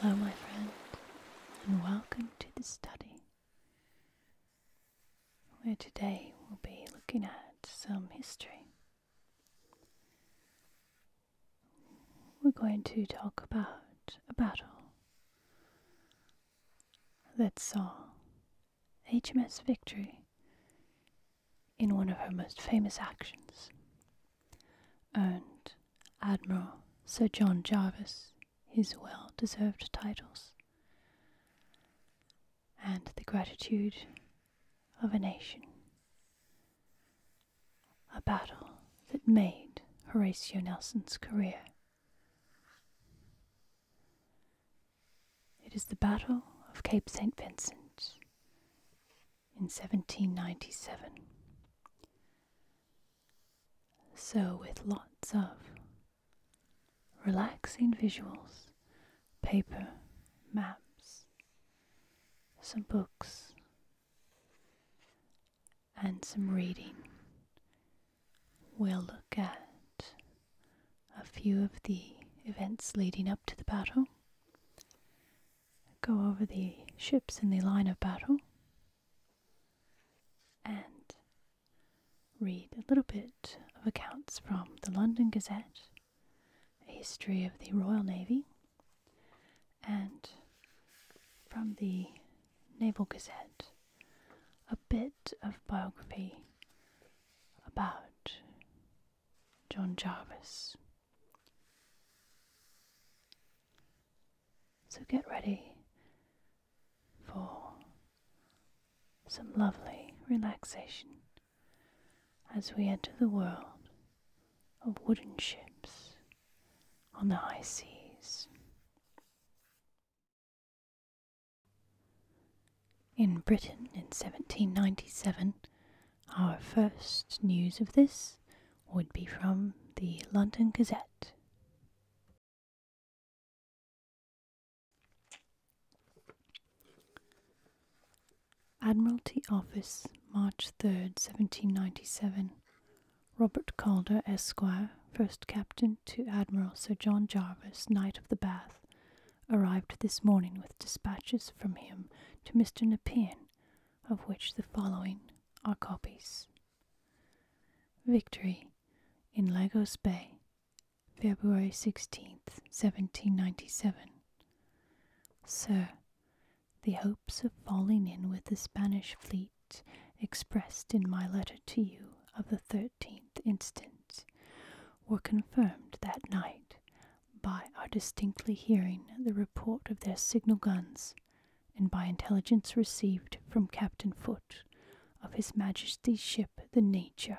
Hello, my friend, and welcome to the study where today we'll be looking at some history. We're going to talk about a battle that saw HMS Victory in one of her most famous actions earned Admiral Sir John Jarvis his well deserved titles and the gratitude of a nation. A battle that made Horatio Nelson's career it is the Battle of Cape St. Vincent in 1797. So, with lots of relaxing visuals, paper, maps, some books, and some reading we'll look at a few of the events leading up to the battle, go over the ships in the line of battle, and read a little bit of accounts from the London Gazette, a history of the Royal Navy, and from the Naval Gazette, a bit of biography about John Jarvis. So get ready for some lovely relaxation as we enter the world of wooden ships on the high seas. In Britain in 1797, our first news of this would be from the London Gazette. Admiralty Office, March 3rd, 1797. Robert Calder, Esquire, first captain to Admiral Sir John Jarvis, Knight of the Bath, arrived this morning with dispatches from him to Mr. Nepean, of which the following are copies. Victory in Lagos Bay, February 16th, 1797. Sir, the hopes of falling in with the Spanish fleet expressed in my letter to you of the 13th instant were confirmed that night by our distinctly hearing the report of their signal guns and by intelligence received from Captain Foote of His Majesty's ship the Nature,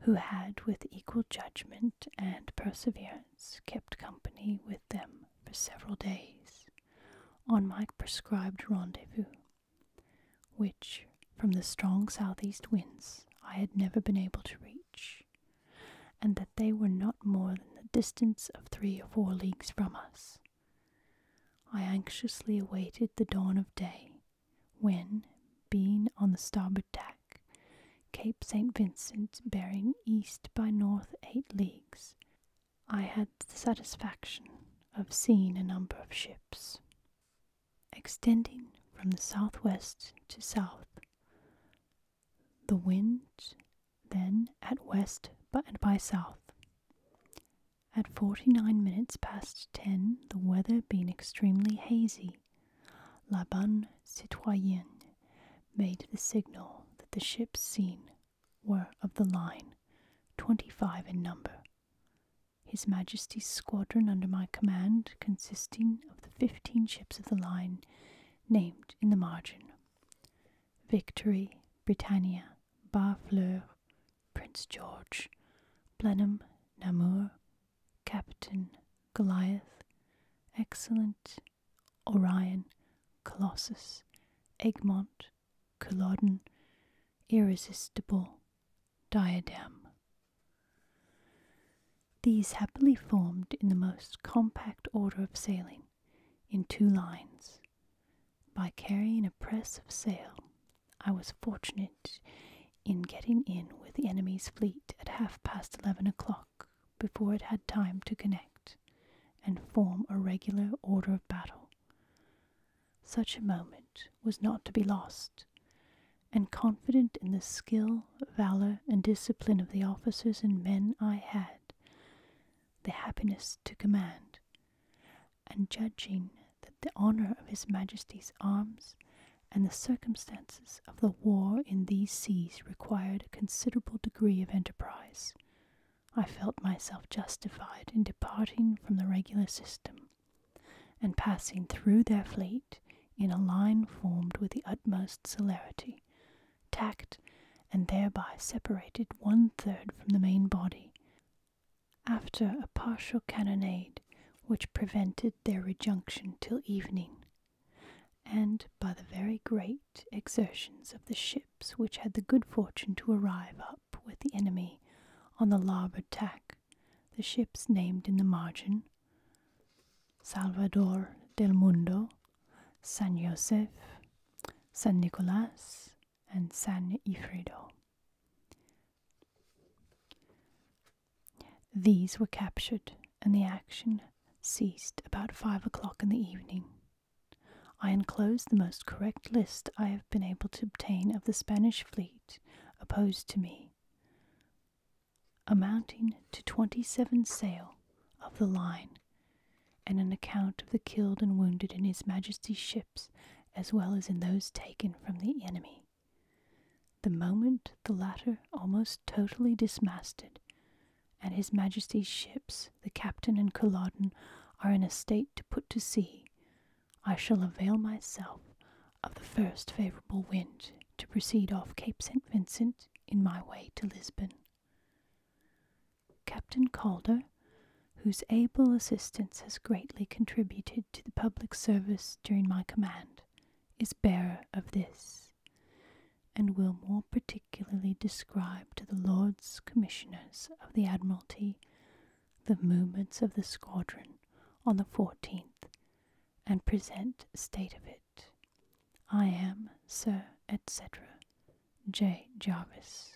who had with equal judgment and perseverance kept company with them for several days on my prescribed rendezvous, which, from the strong southeast winds, I had never been able to reach, and that they were not more than the distance of three or four leagues from us. I anxiously awaited the dawn of day, when, being on the starboard tack, Cape St. Vincent, bearing east by north eight leagues, I had the satisfaction of seeing a number of ships. Extending from the southwest to south, the wind then at west and by south. At 49 minutes past 10, the weather being extremely hazy, La Bonne Citoyenne made the signal that the ships seen were of the line, twenty five in number. His Majesty's squadron under my command, consisting of the fifteen ships of the line named in the margin Victory, Britannia, Barfleur, Prince George, Blenheim, Namur, Captain, Goliath, Excellent, Orion, Colossus, Egmont, culloden, irresistible, diadem. These happily formed in the most compact order of sailing, in two lines. By carrying a press of sail, I was fortunate in getting in with the enemy's fleet at half past eleven o'clock before it had time to connect and form a regular order of battle. Such a moment was not to be lost, and confident in the skill, valor, and discipline of the officers and men I had, the happiness to command, and judging that the honor of His Majesty's arms and the circumstances of the war in these seas required a considerable degree of enterprise, I felt myself justified in departing from the regular system and passing through their fleet in a line formed with the utmost celerity, tacked, and thereby separated one third from the main body. After a partial cannonade, which prevented their rejunction till evening, and by the very great exertions of the ships which had the good fortune to arrive up with the enemy on the larboard tack, the ships named in the margin Salvador del Mundo, San Josef, San Nicolas, and San Ifredo. These were captured, and the action ceased about five o'clock in the evening. I enclose the most correct list I have been able to obtain of the Spanish fleet opposed to me, amounting to twenty seven sail of the line, and an account of the killed and wounded in His Majesty's ships as well as in those taken from the enemy. The moment the latter almost totally dismasted, and His Majesty's ships the captain and Culloden, are in a state to put to sea, I shall avail myself of the first favourable wind to proceed off Cape St. Vincent in my way to Lisbon. Captain Calder, whose able assistance has greatly contributed to the public service during my command, is bearer of this, and will more particularly describe to the Lords Commissioners of the Admiralty the movements of the squadron on the 14th and present state of it. I am, Sir, etc., J. Jarvis.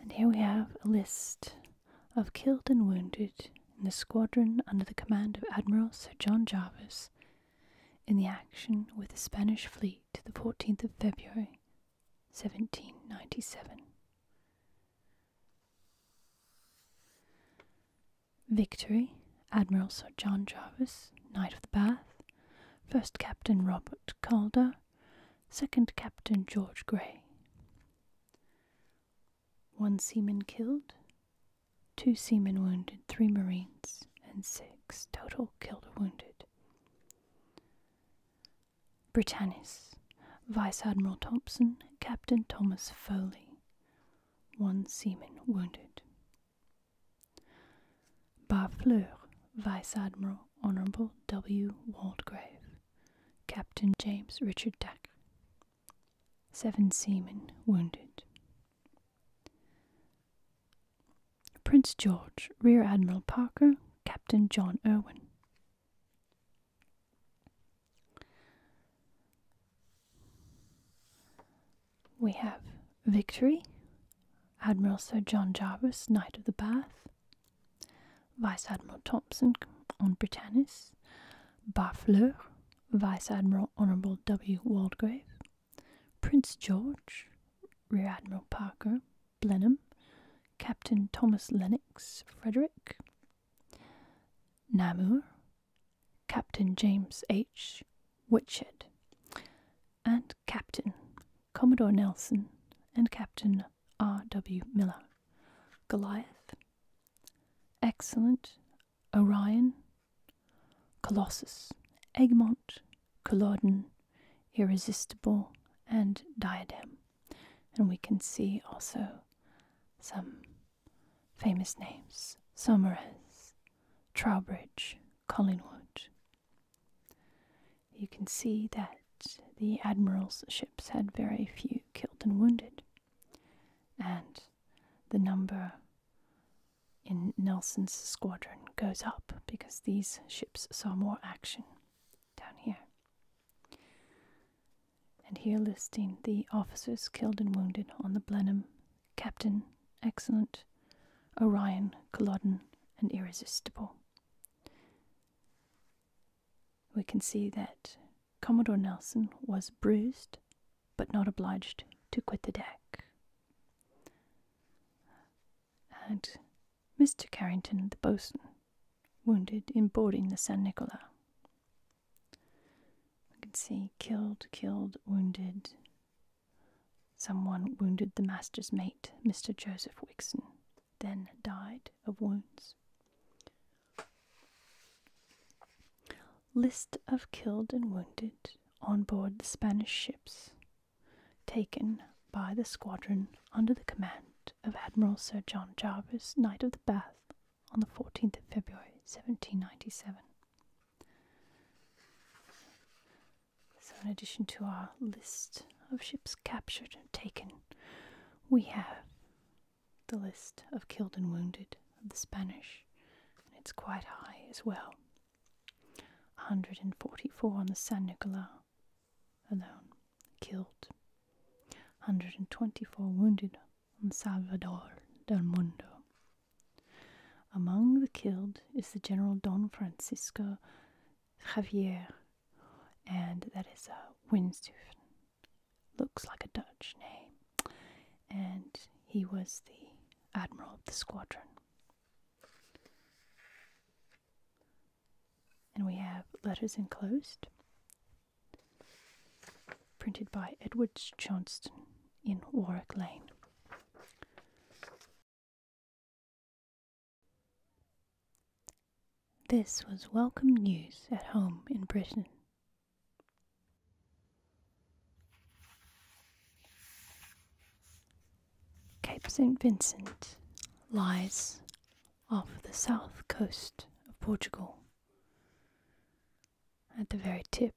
And here we have a list of killed and wounded in the squadron under the command of Admiral Sir John Jarvis in the action with the Spanish fleet to the 14th of February, 1797. Victory, Admiral Sir John Jarvis, Knight of the Bath, First Captain Robert Calder, Second Captain George Grey. One seaman killed, two seamen wounded, three marines, and six total killed or wounded. Britannis, Vice Admiral Thompson, Captain Thomas Foley, one seaman wounded. Barfleur, Vice Admiral Honourable W. Waldgrave, Captain James Richard Dack, seven seamen wounded. Prince George, Rear Admiral Parker, Captain John Irwin. We have Victory, Admiral Sir John Jarvis, Knight of the Bath, Vice Admiral Thompson on Britannis, Barfleur, Vice Admiral Honourable W. Waldegrave, Prince George, Rear Admiral Parker, Blenheim, Captain Thomas Lennox, Frederick, Namur, Captain James H. Whitshed, and Captain Commodore Nelson and Captain R. W. Miller. Goliath, Excellent, Orion, Colossus, Egmont, Culloden, Irresistible, and Diadem. And we can see also some famous names Saumarez, Trowbridge, Collingwood. You can see that the admiral's ships had very few killed and wounded, and the number in Nelson's squadron goes up because these ships saw more action down here. And here listing the officers killed and wounded on the Blenheim, Captain Excellent, Orion, Culloden, and Irresistible. We can see that Commodore Nelson was bruised but not obliged to quit the deck had Mr. Carrington, the boatswain, wounded in boarding the San Nicola. We can see killed, killed, wounded. Someone wounded the master's mate, Mr. Joseph Wixon, then died of wounds. List of killed and wounded on board the Spanish ships taken by the squadron under the command of Admiral Sir John Jarvis, Knight of the Bath, on the 14th of February 1797. So, in addition to our list of ships captured and taken, we have the list of killed and wounded of the Spanish, and it's quite high as well. 144 on the San Nicolas alone killed, 124 wounded on Salvador del Mundo. Among the killed is the General Don Francisco Javier, and that is a Windstufen. Looks like a Dutch name. And he was the admiral of the squadron. And we have Letters Enclosed, printed by Edwards Johnston in Warwick Lane. This was welcome news at home in Britain. Cape St. Vincent lies off the south coast of Portugal, at the very tip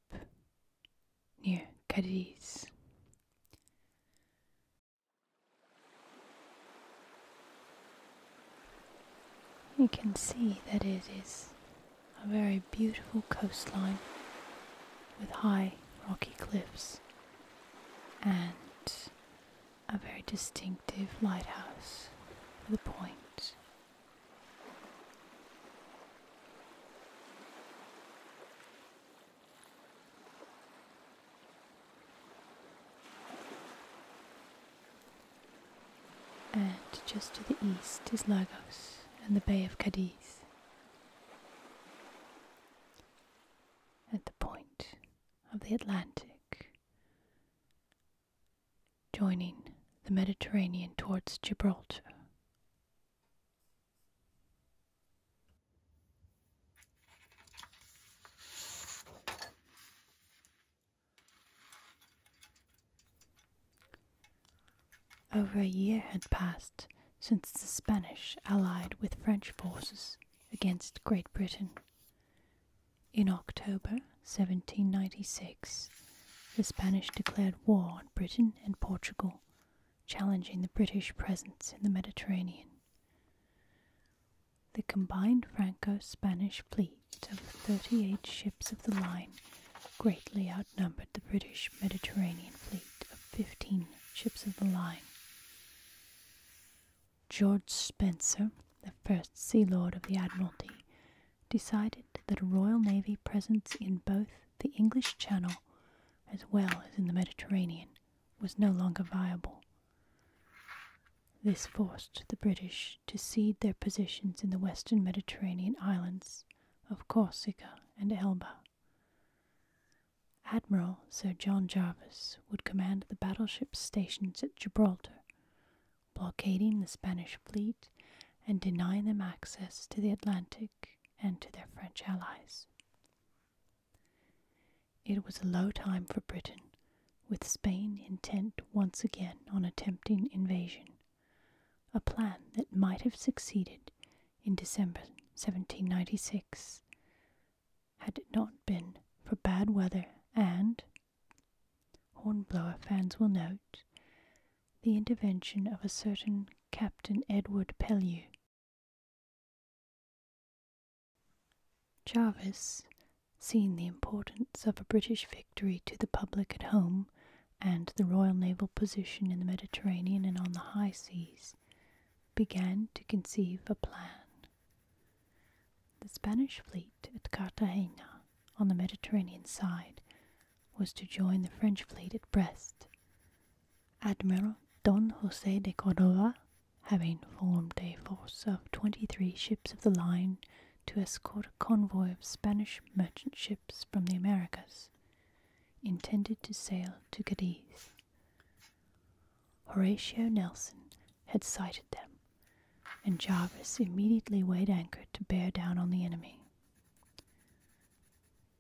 near Cadiz. You can see that it is a very beautiful coastline with high rocky cliffs and a very distinctive lighthouse for the point. And just to the east is Lagos and the Bay of Cadiz at the point of the Atlantic, joining the Mediterranean towards Gibraltar. Over a year had passed since the Spanish allied with French forces against Great Britain. In October 1796, the Spanish declared war on Britain and Portugal, challenging the British presence in the Mediterranean. The combined Franco Spanish fleet of 38 ships of the line greatly outnumbered the British Mediterranean fleet of 15 ships of the line. George Spencer, the first Sea Lord of the Admiralty, decided that a Royal Navy presence in both the English Channel as well as in the Mediterranean was no longer viable. This forced the British to cede their positions in the western Mediterranean islands of Corsica and Elba. Admiral Sir John Jarvis would command the battleships stationed at Gibraltar, blockading the Spanish fleet and denying them access to the Atlantic and to their French allies. It was a low time for Britain, with Spain intent once again on attempting invasion, a plan that might have succeeded in December 1796, had it not been for bad weather and, hornblower fans will note, the intervention of a certain Captain Edward Pellew. Jarvis, seeing the importance of a British victory to the public at home and the Royal Naval position in the Mediterranean and on the high seas, began to conceive a plan. The Spanish fleet at Cartagena on the Mediterranean side was to join the French fleet at Brest. Admiral Don Jose de Cordova, having formed a force of 23 ships of the line to escort a convoy of Spanish merchant ships from the Americas, intended to sail to Cadiz. Horatio Nelson had sighted them, and Jarvis immediately weighed anchor to bear down on the enemy.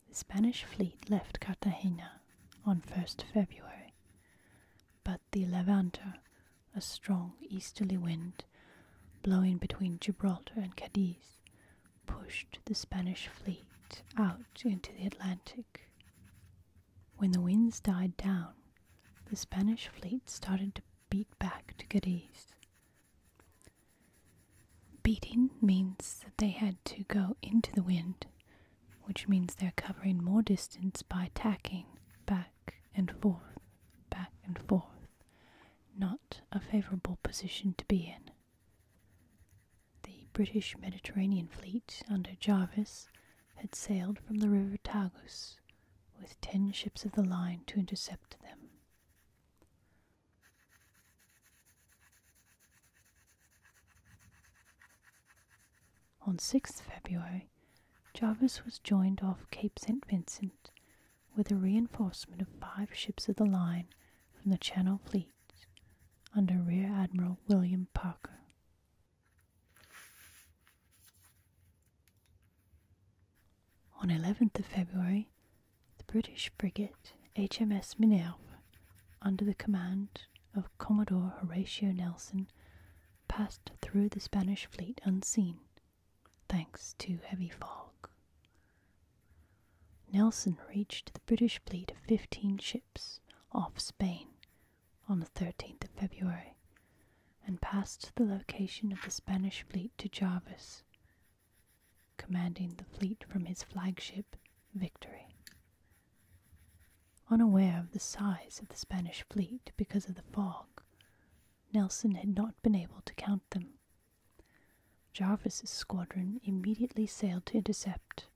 The Spanish fleet left Cartagena on 1st February, but the Levanter, a strong easterly wind blowing between Gibraltar and Cadiz, pushed the Spanish fleet out into the Atlantic. When the winds died down, the Spanish fleet started to beat back to Cadiz. Beating means that they had to go into the wind, which means they're covering more distance by tacking back and forth, back and forth. Not a favorable position to be in. The British Mediterranean fleet under Jarvis had sailed from the river Tagus with ten ships of the line to intercept them. On 6th February, Jarvis was joined off Cape St. Vincent with a reinforcement of five ships of the line from the Channel Fleet under Rear Admiral William Parker. On 11th of February, the British frigate HMS Minerve, under the command of Commodore Horatio Nelson, passed through the Spanish fleet unseen, thanks to heavy fog. Nelson reached the British fleet of 15 ships off Spain on the 13th of February and passed the location of the Spanish fleet to Jarvis, commanding the fleet from his flagship Victory. Unaware of the size of the Spanish fleet because of the fog, Nelson had not been able to count them. Jarvis's squadron immediately sailed to intercept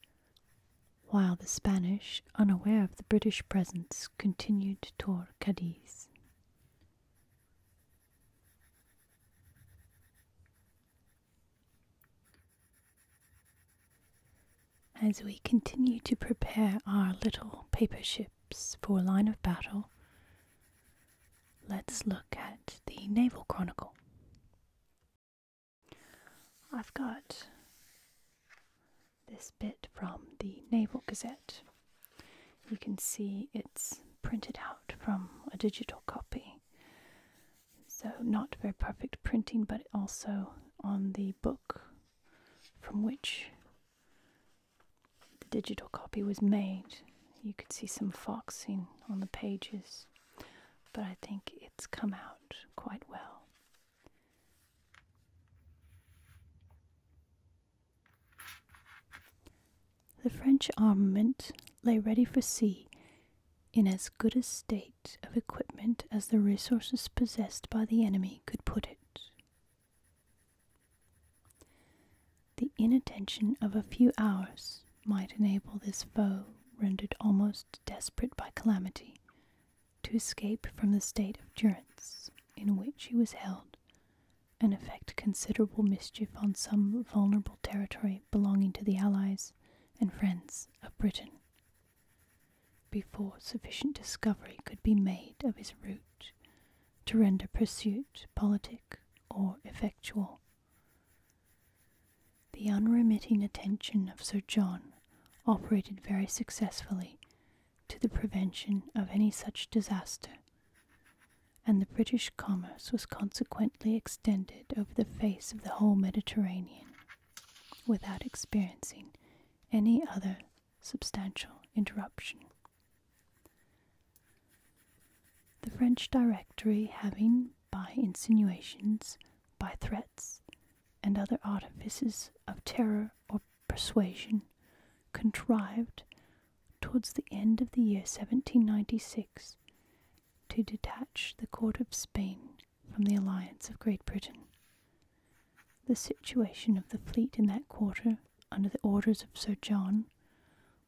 while the Spanish, unaware of the British presence, continued toward Cadiz. As we continue to prepare our little paper ships for line of battle, let's look at the Naval Chronicle. I've got this bit from the Naval Gazette. You can see it's printed out from a digital copy. So, not very perfect printing, but also on the book from which the digital copy was made. You could see some foxing on the pages but I think it's come out quite well. The French armament lay ready for sea in as good a state of equipment as the resources possessed by the enemy could put it. The inattention of a few hours might enable this foe, rendered almost desperate by calamity, to escape from the state of durance in which he was held and effect considerable mischief on some vulnerable territory belonging to the allies and friends of Britain. Before sufficient discovery could be made of his route to render pursuit politic or effectual, the unremitting attention of Sir John operated very successfully to the prevention of any such disaster, and the British commerce was consequently extended over the face of the whole Mediterranean without experiencing any other substantial interruption. The French Directory having, by insinuations, by threats, and other artifices of terror or persuasion, contrived, towards the end of the year 1796, to detach the court of Spain from the alliance of Great Britain. The situation of the fleet in that quarter, under the orders of Sir John,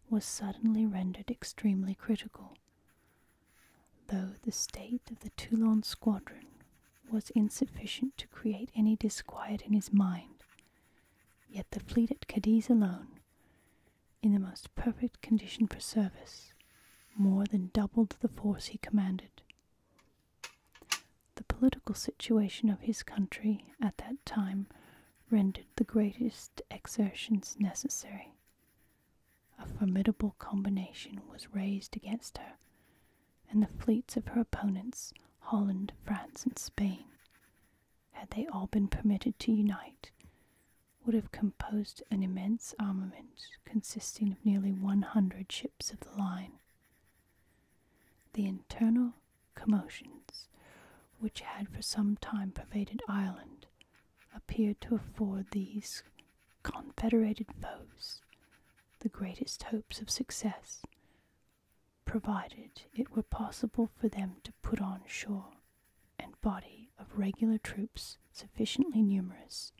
was suddenly rendered extremely critical though the state of the Toulon squadron was insufficient to create any disquiet in his mind, yet the fleet at Cadiz alone, in the most perfect condition for service, more than doubled the force he commanded. The political situation of his country at that time rendered the greatest exertions necessary a formidable combination was raised against her, and the fleets of her opponents, Holland, France, and Spain, had they all been permitted to unite, would have composed an immense armament consisting of nearly 100 ships of the line. The internal commotions which had for some time pervaded Ireland appeared to afford these confederated foes the greatest hopes of success, provided it were possible for them to put on shore a body of regular troops sufficiently numerous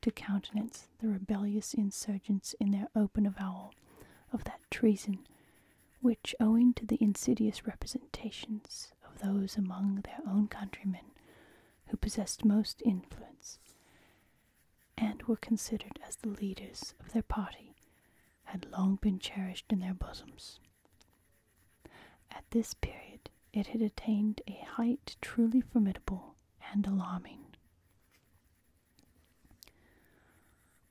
to countenance the rebellious insurgents in their open avowal of that treason which, owing to the insidious representations of those among their own countrymen who possessed most influence and were considered as the leaders of their party had long been cherished in their bosoms. At this period, it had attained a height truly formidable and alarming.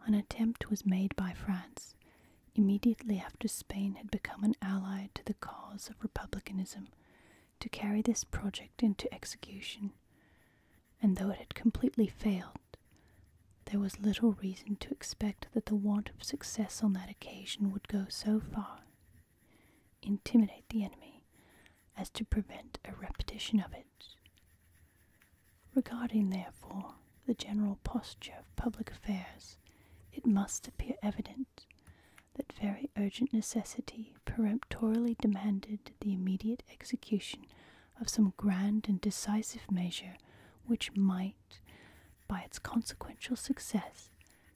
An attempt was made by France immediately after Spain had become an ally to the cause of republicanism to carry this project into execution, and though it had completely failed, there was little reason to expect that the want of success on that occasion would go so far, intimidate the enemy, as to prevent a repetition of it. Regarding, therefore, the general posture of public affairs, it must appear evident that very urgent necessity peremptorily demanded the immediate execution of some grand and decisive measure which might, by its consequential success,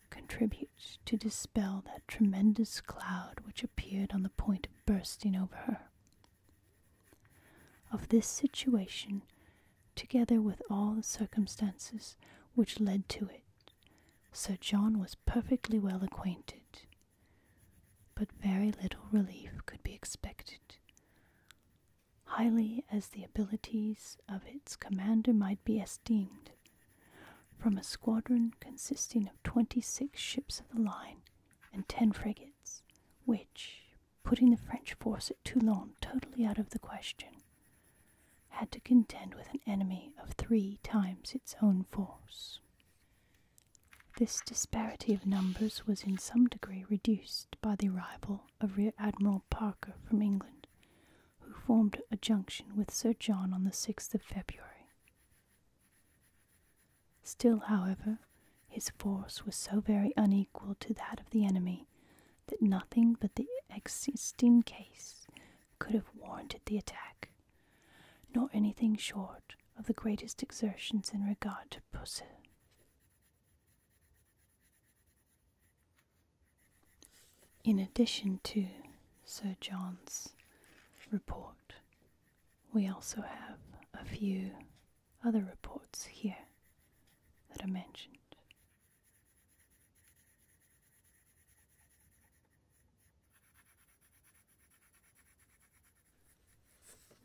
contribute to dispel that tremendous cloud which appeared on the point of bursting over her. Of this situation, together with all the circumstances which led to it, Sir John was perfectly well acquainted. But very little relief could be expected. Highly as the abilities of its commander might be esteemed, from a squadron consisting of twenty six ships of the line and ten frigates, which, putting the French force at Toulon totally out of the question, had to contend with an enemy of three times its own force. This disparity of numbers was in some degree reduced by the arrival of Rear Admiral Parker from England, who formed a junction with Sir John on the 6th of February. Still, however, his force was so very unequal to that of the enemy that nothing but the existing case could have warranted the attack, nor anything short of the greatest exertions in regard to Pussy. In addition to Sir John's report, we also have a few other reports here that are mentioned.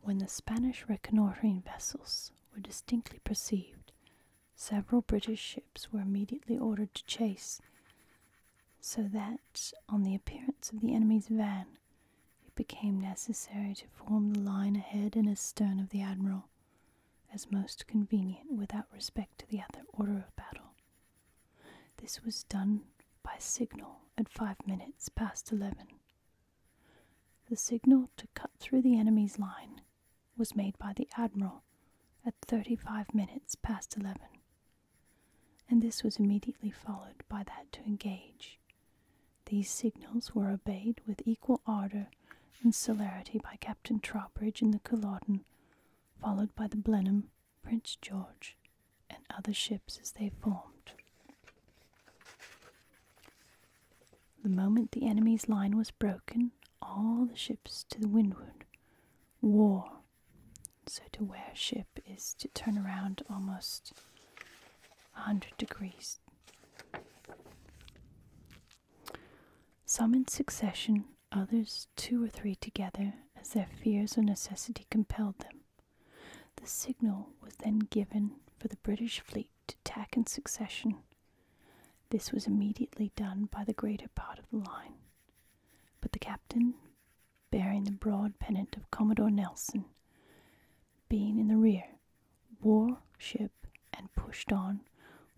When the Spanish reconnoitering vessels were distinctly perceived, several British ships were immediately ordered to chase, so that, on the appearance of the enemy's van, it became necessary to form the line ahead and astern of the admiral, as most convenient without respect to the other order of battle. This was done by signal at five minutes past eleven. The signal to cut through the enemy's line was made by the Admiral at 35 minutes past 11, and this was immediately followed by that to engage. These signals were obeyed with equal ardor and celerity by Captain Trowbridge in the Culloden followed by the Blenheim, Prince George, and other ships as they formed. The moment the enemy's line was broken, all the ships to the windward wore. So to wear ship is to turn around almost a 100 degrees. Some in succession, others two or three together as their fears or necessity compelled them. The signal was then given for the British fleet to tack in succession. This was immediately done by the greater part of the line. But the captain, bearing the broad pennant of Commodore Nelson, being in the rear, wore ship and pushed on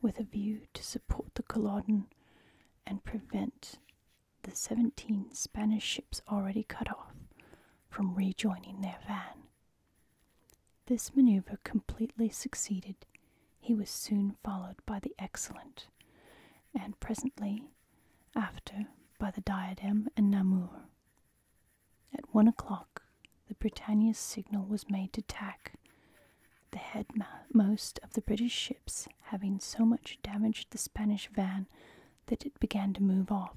with a view to support the Culloden and prevent the 17 Spanish ships already cut off from rejoining their van. This maneuver completely succeeded. He was soon followed by the Excellent, and presently after by the Diadem and Namur. At one o'clock, the Britannia's signal was made to tack, the headmost of the British ships having so much damaged the Spanish van that it began to move off,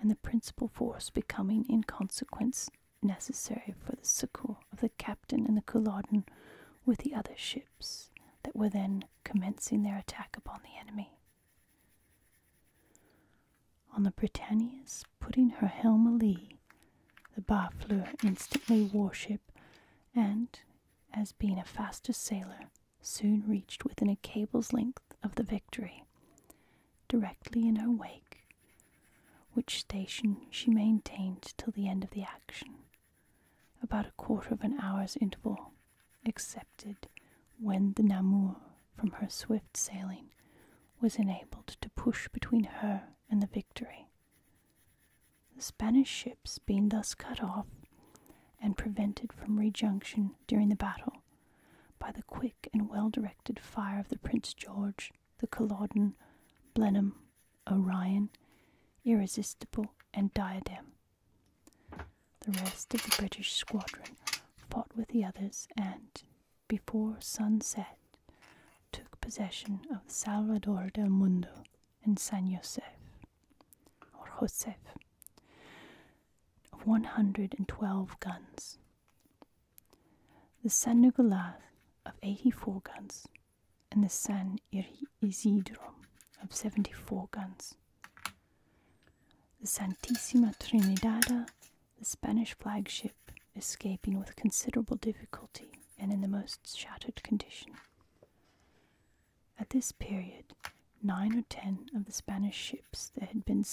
and the principal force becoming in consequence necessary for the succour of the captain and the Culloden with the other ships that were then commencing their attack upon the enemy. On the Britannia's putting her helm alee, the Barfleur instantly warship and, as being a faster sailer, soon reached within a cable's length of the Victory. Directly in her wake, which station she maintained till the end of the action, about a quarter of an hour's interval, excepted when the Namur, from her swift sailing, was enabled to push between her and the Victory. The Spanish ships being thus cut off and prevented from rejunction during the battle by the quick and well directed fire of the Prince George, the Culloden, Blenheim, Orion, Irresistible, and Diadem. The rest of the British squadron fought with the others and, before sunset, took possession of Salvador del Mundo and San Josef or Josef of 112 guns, the San Nicolas of 84 guns, and the San Isidro of 74 guns. The Santissima Trinidad, the Spanish flagship, escaping with considerable difficulty and in the most shattered condition. At this period, nine or ten of the Spanish ships that had been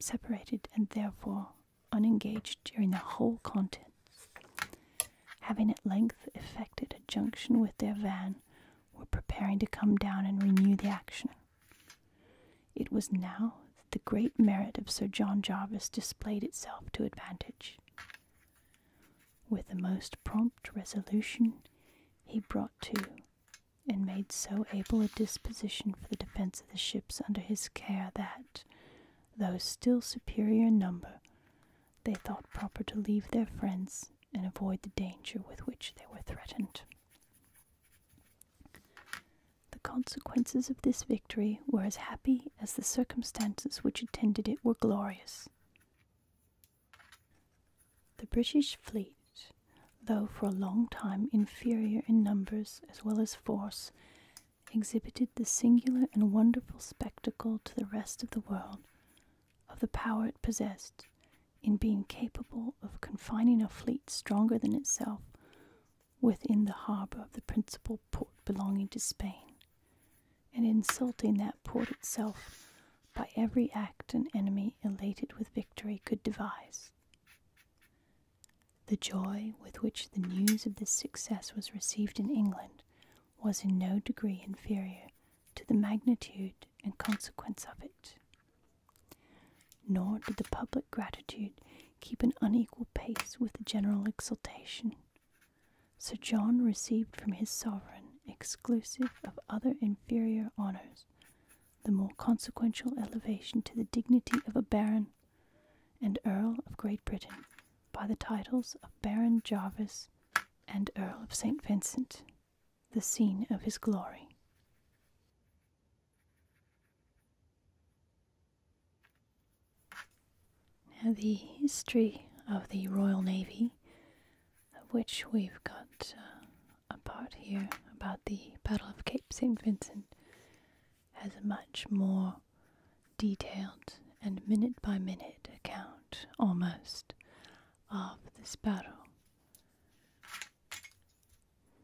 separated and therefore unengaged during the whole contest, having at length effected a junction with their van, were preparing to come down and renew the action. It was now that the great merit of Sir John Jarvis displayed itself to advantage with the most prompt resolution he brought to, and made so able a disposition for the defence of the ships under his care that, though still superior in number, they thought proper to leave their friends and avoid the danger with which they were threatened. The consequences of this victory were as happy as the circumstances which attended it were glorious. The British fleet, though for a long time inferior in numbers as well as force, exhibited the singular and wonderful spectacle to the rest of the world of the power it possessed in being capable of confining a fleet stronger than itself within the harbour of the principal port belonging to Spain and insulting that port itself by every act an enemy elated with victory could devise. The joy with which the news of this success was received in England was in no degree inferior to the magnitude and consequence of it. Nor did the public gratitude keep an unequal pace with the general exultation Sir John received from his sovereign, exclusive of other inferior honours, the more consequential elevation to the dignity of a baron and Earl of Great Britain by the titles of Baron Jarvis and Earl of St. Vincent, the scene of his glory. Now, the history of the Royal Navy, of which we've got uh, a part here about the Battle of Cape St. Vincent, has a much more detailed and minute by minute account, almost, of this battle.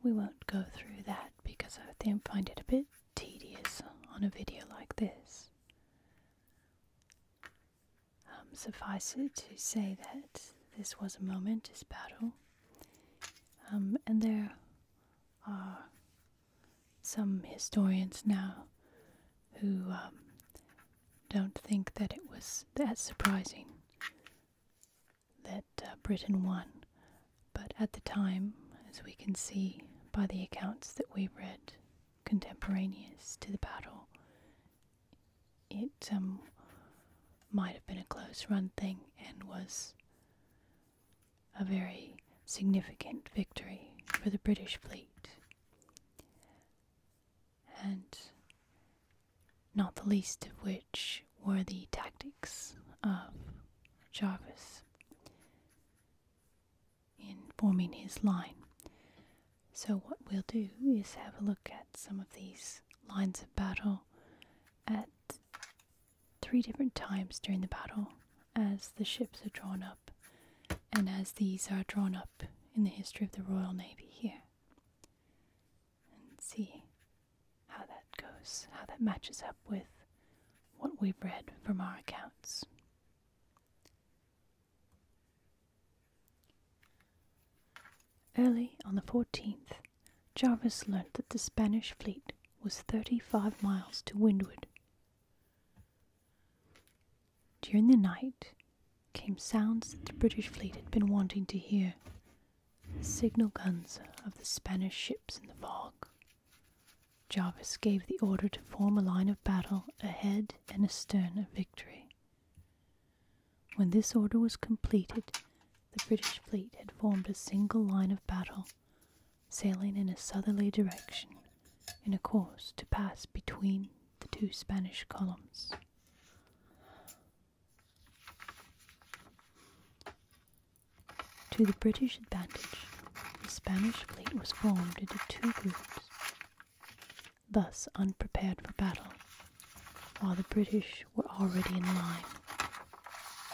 We won't go through that because I think find it a bit tedious on a video like this. Um, suffice it to say that this was a momentous battle, um, and there are some historians now who um, don't think that it was as surprising that uh, Britain won, but at the time, as we can see by the accounts that we read, contemporaneous to the battle. It um, might have been a close run thing and was a very significant victory for the British fleet. And not the least of which were the tactics of Jarvis in forming his line. So what we'll do is have a look at some of these lines of battle at three different times during the battle as the ships are drawn up and as these are drawn up in the history of the Royal Navy here. And see how that goes, how that matches up with what we've read from our accounts. Early on the 14th, Jarvis learnt that the Spanish fleet was 35 miles to windward. During the night came sounds that the British fleet had been wanting to hear the signal guns of the Spanish ships in the fog. Jarvis gave the order to form a line of battle ahead and a stern of victory. When this order was completed, the British fleet had formed a single line of battle, sailing in a southerly direction in a course to pass between the two Spanish columns. To the British advantage, the Spanish fleet was formed into two groups thus unprepared for battle, while the British were already in line.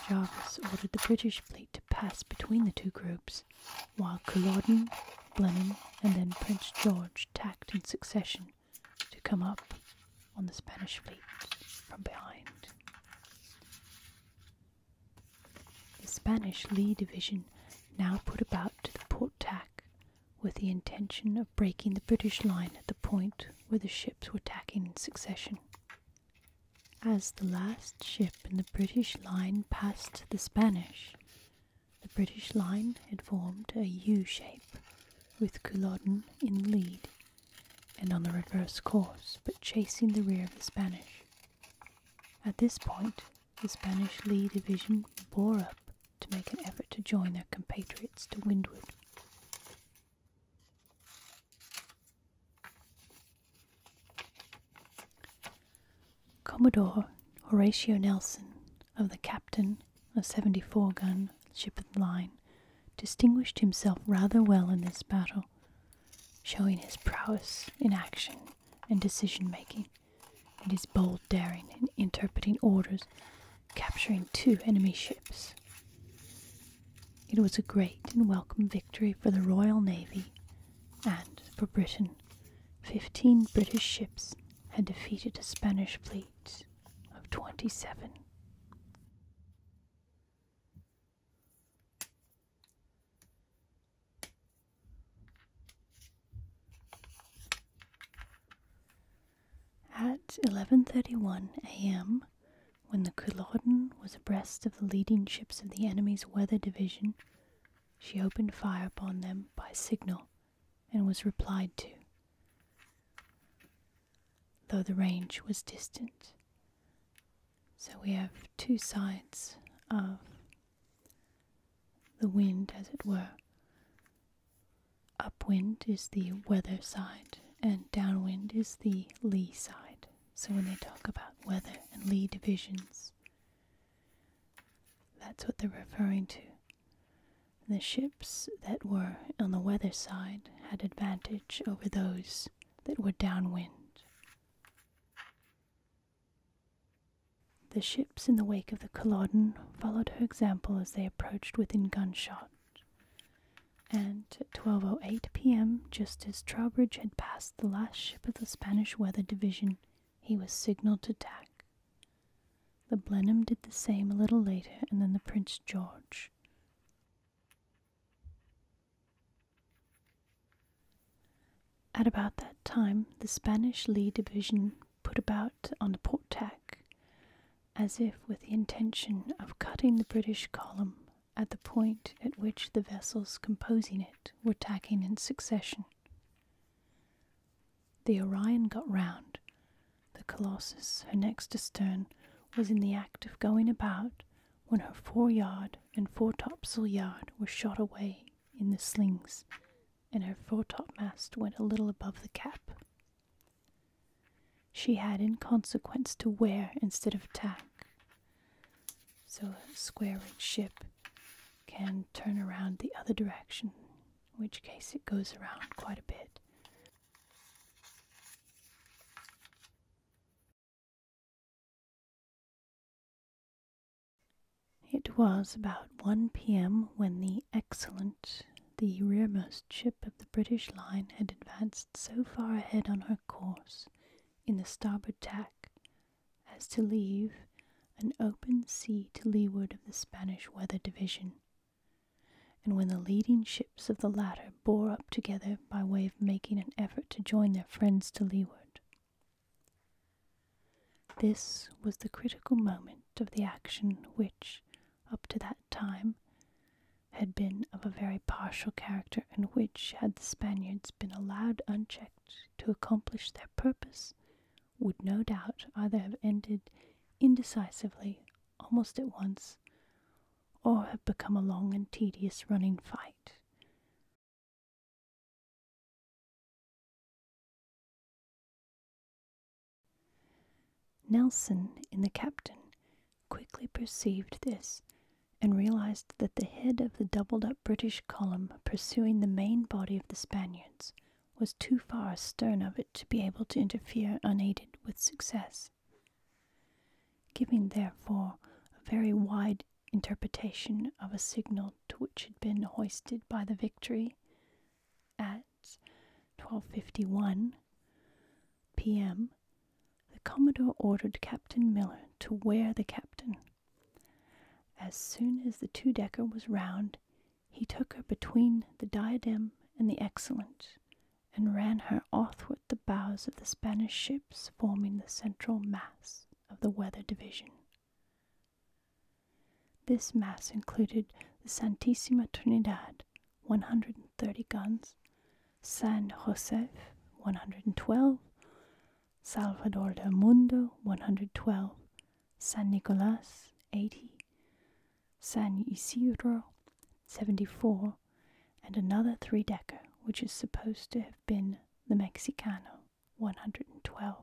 Jarvis ordered the British fleet to pass between the two groups, while Culloden, Blenheim, and then Prince George tacked in succession to come up on the Spanish fleet from behind. The Spanish Lee Division now put about to the port tack with the intention of breaking the British line at the point where the ships were tacking in succession. As the last ship in the British line passed the Spanish, the British line had formed a U shape with Culloden in lead and on the reverse course but chasing the rear of the Spanish. At this point, the Spanish Lee Division bore up to make an effort to join their compatriots to windward. Commodore Horatio Nelson of the captain a 74 gun ship of the line distinguished himself rather well in this battle, showing his prowess in action and decision making and his bold daring in interpreting orders, capturing two enemy ships. It was a great and welcome victory for the Royal Navy and for Britain. Fifteen British ships had defeated a Spanish fleet of twenty seven. At 11:31 a.m., when the Culloden was abreast of the leading ships of the enemy's weather division, she opened fire upon them by signal and was replied to, though the range was distant. So we have two sides of the wind, as it were. Upwind is the weather side, and downwind is the lee side. So when they talk about weather and lee divisions, that's what they're referring to. The ships that were on the weather side had advantage over those that were downwind. The ships in the wake of the Culloden followed her example as they approached within gunshot, and at 12.08 p.m., just as Trowbridge had passed the last ship of the Spanish Weather Division, he was signalled to tack. The Blenheim did the same a little later, and then the Prince George. At about that time, the Spanish Lee Division put about on the port tack, as if with the intention of cutting the British column at the point at which the vessels composing it were tacking in succession. The Orion got round. The Colossus, her next astern, was in the act of going about when her foreyard and foretopsail yard were shot away in the slings and her foretopmast went a little above the cap. She had, in consequence, to wear instead of tack. So a square rigged ship can turn around the other direction, in which case it goes around quite a bit. It was about 1 p.m. when the Excellent, the rearmost ship of the British line, had advanced so far ahead on her course in the starboard tack as to leave an open sea to leeward of the Spanish weather division, and when the leading ships of the latter bore up together by way of making an effort to join their friends to leeward. This was the critical moment of the action which, up to that time, had been of a very partial character, and which, had the Spaniards been allowed unchecked to accomplish their purpose, would no doubt either have ended indecisively almost at once, or have become a long and tedious running fight, Nelson in the captain quickly perceived this and realized that the head of the doubled up British column pursuing the main body of the Spaniards was too far astern of it to be able to interfere unaided with success. Giving, therefore, a very wide interpretation of a signal fort which had been hoisted by the victory at 12.51 p.m., the commodore ordered captain miller to wear the captain. as soon as the two-decker was round, he took her between the diadem and the excellent, and ran her athwart the bows of the spanish ships forming the central mass of the weather division. This mass included the Santissima Trinidad, 130 guns, San Jose, 112, Salvador del Mundo, 112, San Nicolas, 80, San Isidro, 74, and another three decker, which is supposed to have been the Mexicano, 112.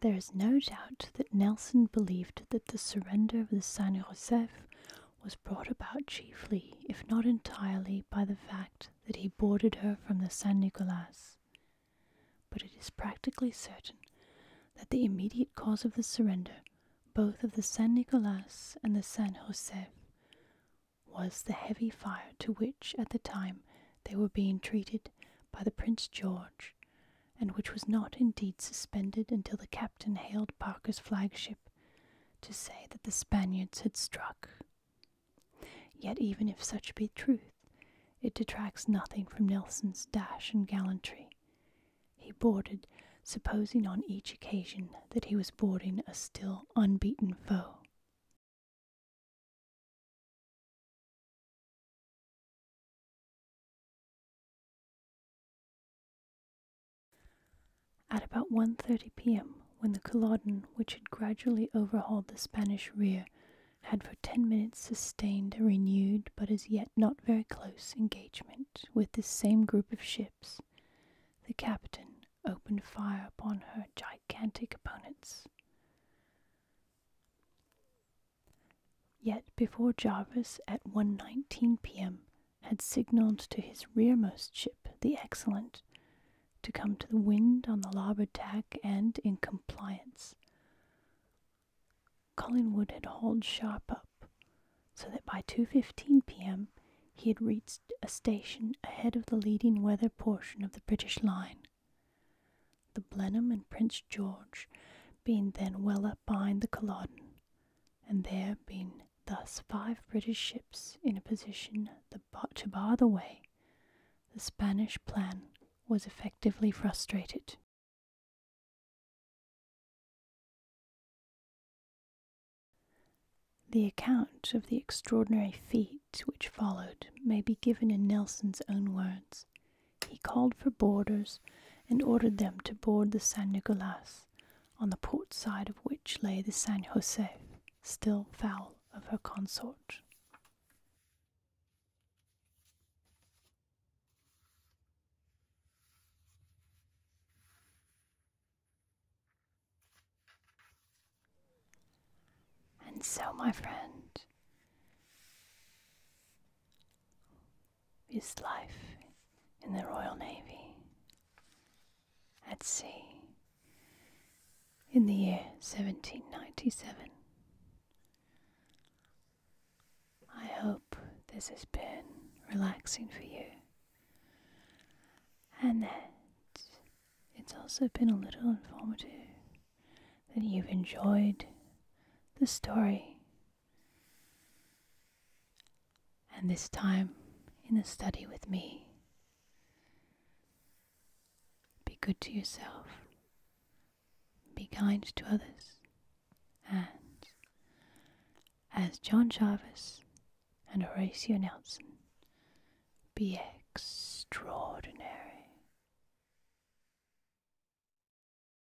There is no doubt that Nelson believed that the surrender of the San Josef was brought about chiefly, if not entirely, by the fact that he boarded her from the San Nicolas. But it is practically certain that the immediate cause of the surrender, both of the San Nicolas and the San Josef, was the heavy fire to which, at the time, they were being treated by the Prince George and which was not indeed suspended until the captain hailed Parker's flagship to say that the Spaniards had struck. Yet, even if such be truth, it detracts nothing from Nelson's dash and gallantry. He boarded, supposing on each occasion that he was boarding a still unbeaten foe. At about one thirty p.m., when the Culloden, which had gradually overhauled the Spanish rear, had for ten minutes sustained a renewed but as yet not very close engagement with this same group of ships, the captain opened fire upon her gigantic opponents. Yet before Jarvis at one nineteen p.m. had signalled to his rearmost ship, the Excellent, to come to the wind on the larboard tack and in compliance, Collingwood had hauled sharp up, so that by 2:15 p.m. he had reached a station ahead of the leading weather portion of the British line. The Blenheim and Prince George being then well up behind the Culloden, and there being thus five British ships in a position to bar the way, the Spanish plan was effectively frustrated. The account of the extraordinary feat which followed may be given in Nelson's own words he called for boarders and ordered them to board the San Nicolas, on the port side of which lay the San Josef, still foul of her consort. And so, my friend, his life in the Royal Navy at sea in the year 1797. I hope this has been relaxing for you and that it's also been a little informative that you've enjoyed the story and this time in the study with me. Be good to yourself, be kind to others, and as John Jarvis and Horatio Nelson, be extraordinary.